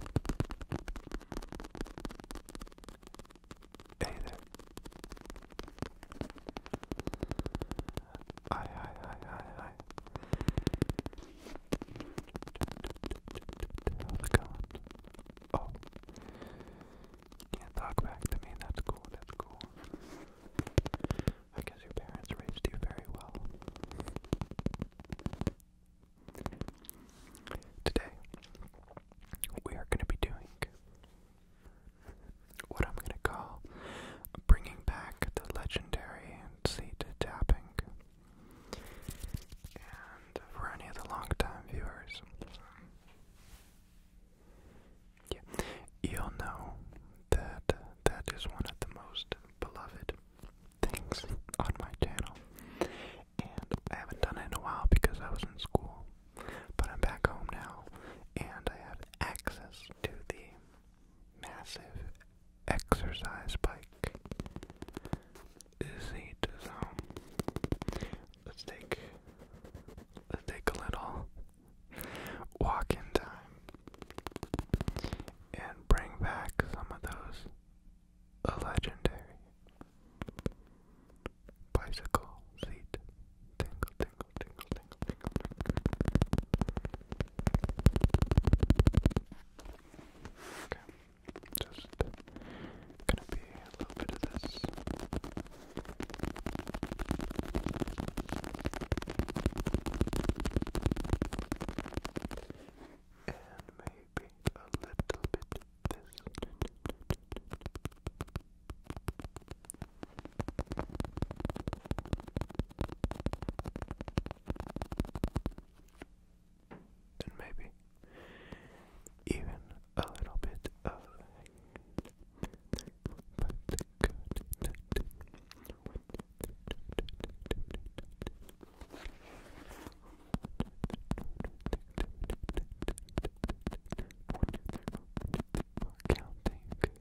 Hey there. Hi, hi, hi, hi, hi. How's it going? Oh. Can't talk back to me. That's cool. That's cool. I guess your parents raised you very well. Today, we are going to be doing what I'm going to call bringing back the legendary seat tapping. And for any of the long-time viewers, you'll know that that is one of the most beloved things on my channel. And I haven't done it in a while because I was in school. But I'm back home now and I have access to the massive exercise bike. Seat. So let's take let's take a little walk in time and bring back some of those a legendary bicycle seat. Tingle, tingle, tingle, tingle, tingle, Okay, just gonna be a little bit of this. And maybe a little bit and maybe even a little bit of counting,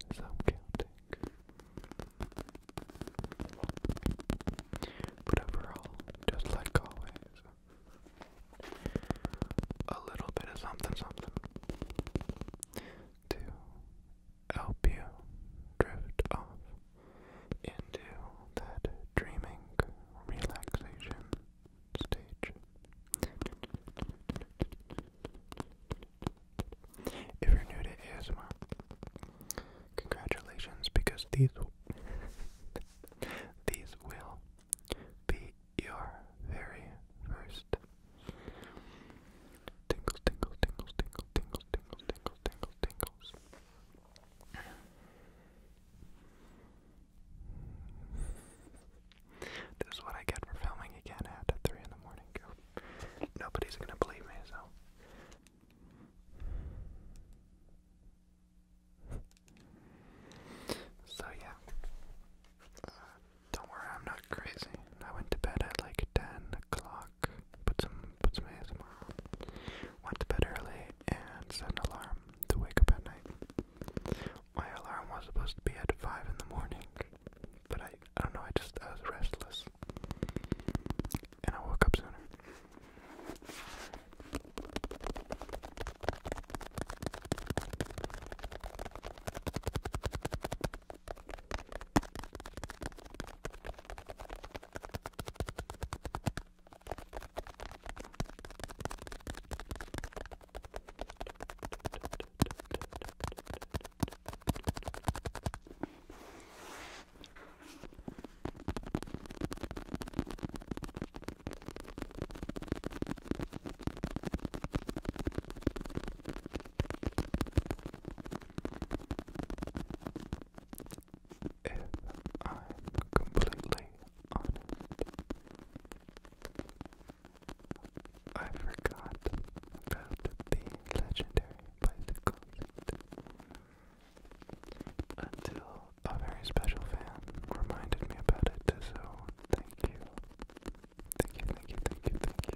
cause I'm counting. But overall, just like always, a little bit of something, something to help you drift off into that dreaming relaxation stage. If you're new to ASMR, congratulations because these these will be your very first tingles, tingles, tingles, tingles, tingles, tingles, tingles, tingles, tingles. This is what I get for filming again at 3 in the morning. Nobody's gonna believe me, so. So, yeah. Uh, don't worry, I'm not crazy. I went to bed at like 10 o'clock, put some, put some ASMR Went to bed early and set an alarm alarm to wake up at night. My alarm was supposed to be at 5 in the morning, but I, I don't know, I just, I was restless. And I woke up sooner. If i completely I forgot about the legendary bicycle until a very special fan reminded me about it, so thank you. Thank you, thank you, thank you, thank you.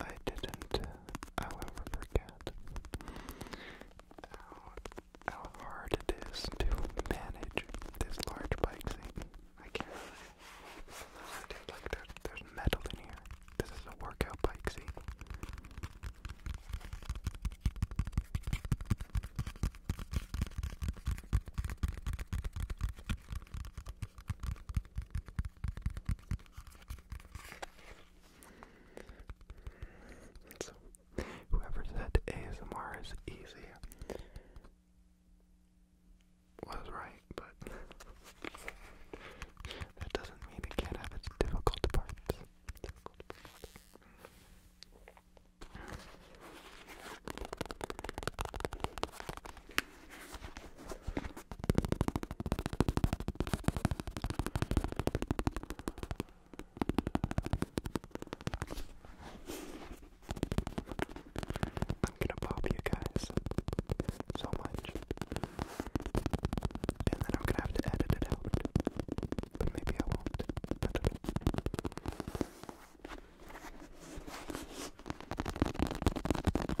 I didn't, however, uh, forget how, how hard it is to manage this large bike thing. I can't really. Dude, like, there, there's metal in here. This is a workout bike, see? whoever said ASMR is easy was right, but that doesn't mean it can't have its difficult parts. I'm gonna pop you guys so much. And then I'm gonna have to edit it out. But maybe I won't. I don't know. There you go. There you go.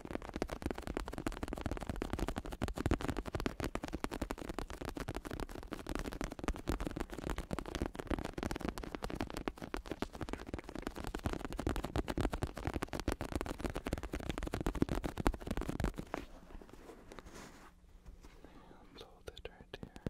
Let's hold it right here.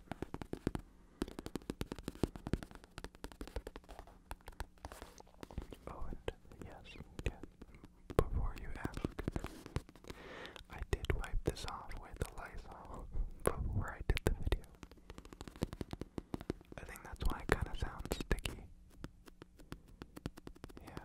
Oh, and yes, yeah, before you ask, I did wipe this off with a Lysol before I did the video. I think that's why it kind of sounds sticky. Yeah.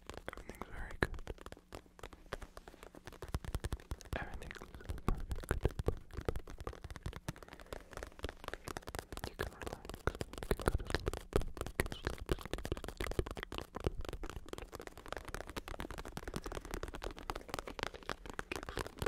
Everything's very good. Everything's perfect. You can relax. You can go to sleep. You can sleep, sleep, sleep. Keep sleep, keep sleep, keep sleep, keep sleep.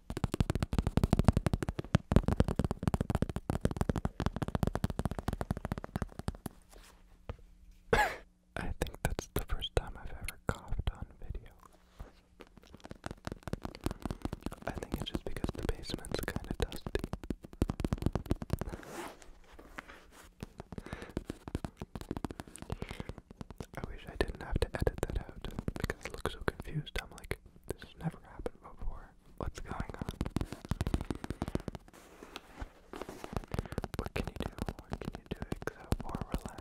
I think that's the first time I've ever coughed on video. I think it's just because the basement's kind of dusty. I wish I didn't have to edit that out because it looks so confused. I'm like, this has never happened before what's going on. What can you do? What can you do except for relax?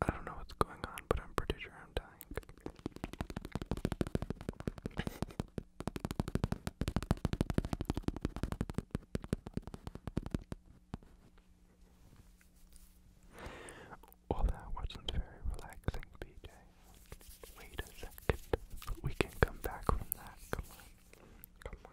I don't know what's going on, but I'm pretty sure I'm dying. Well, that wasn't very relaxing, BJ. Wait a second. We can come back from that. Come on. Come on.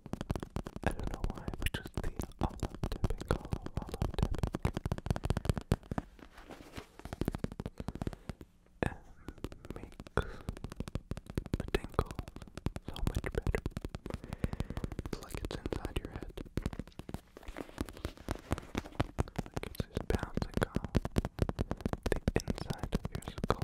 I don't know why, but just the olive dipping, olive, olive makes the tingle so much better. It's like it's inside your head. Like just bouncing off the inside of your skull.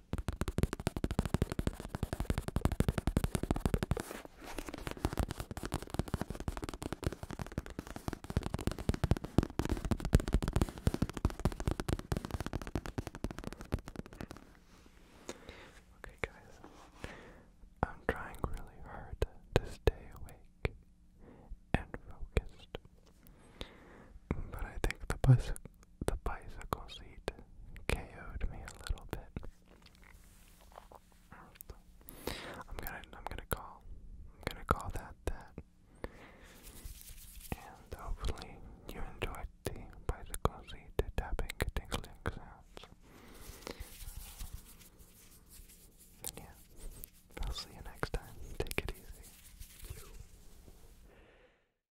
Okay, guys, I'm trying really hard to stay awake and focused, but I think the bus the bicycle seat KO'd me a little bit. I'm gonna I'm gonna call I'm gonna call that that. And hopefully you enjoyed the bicycle seat tapping tingling sounds. yeah, I'll see you next time. Take it easy.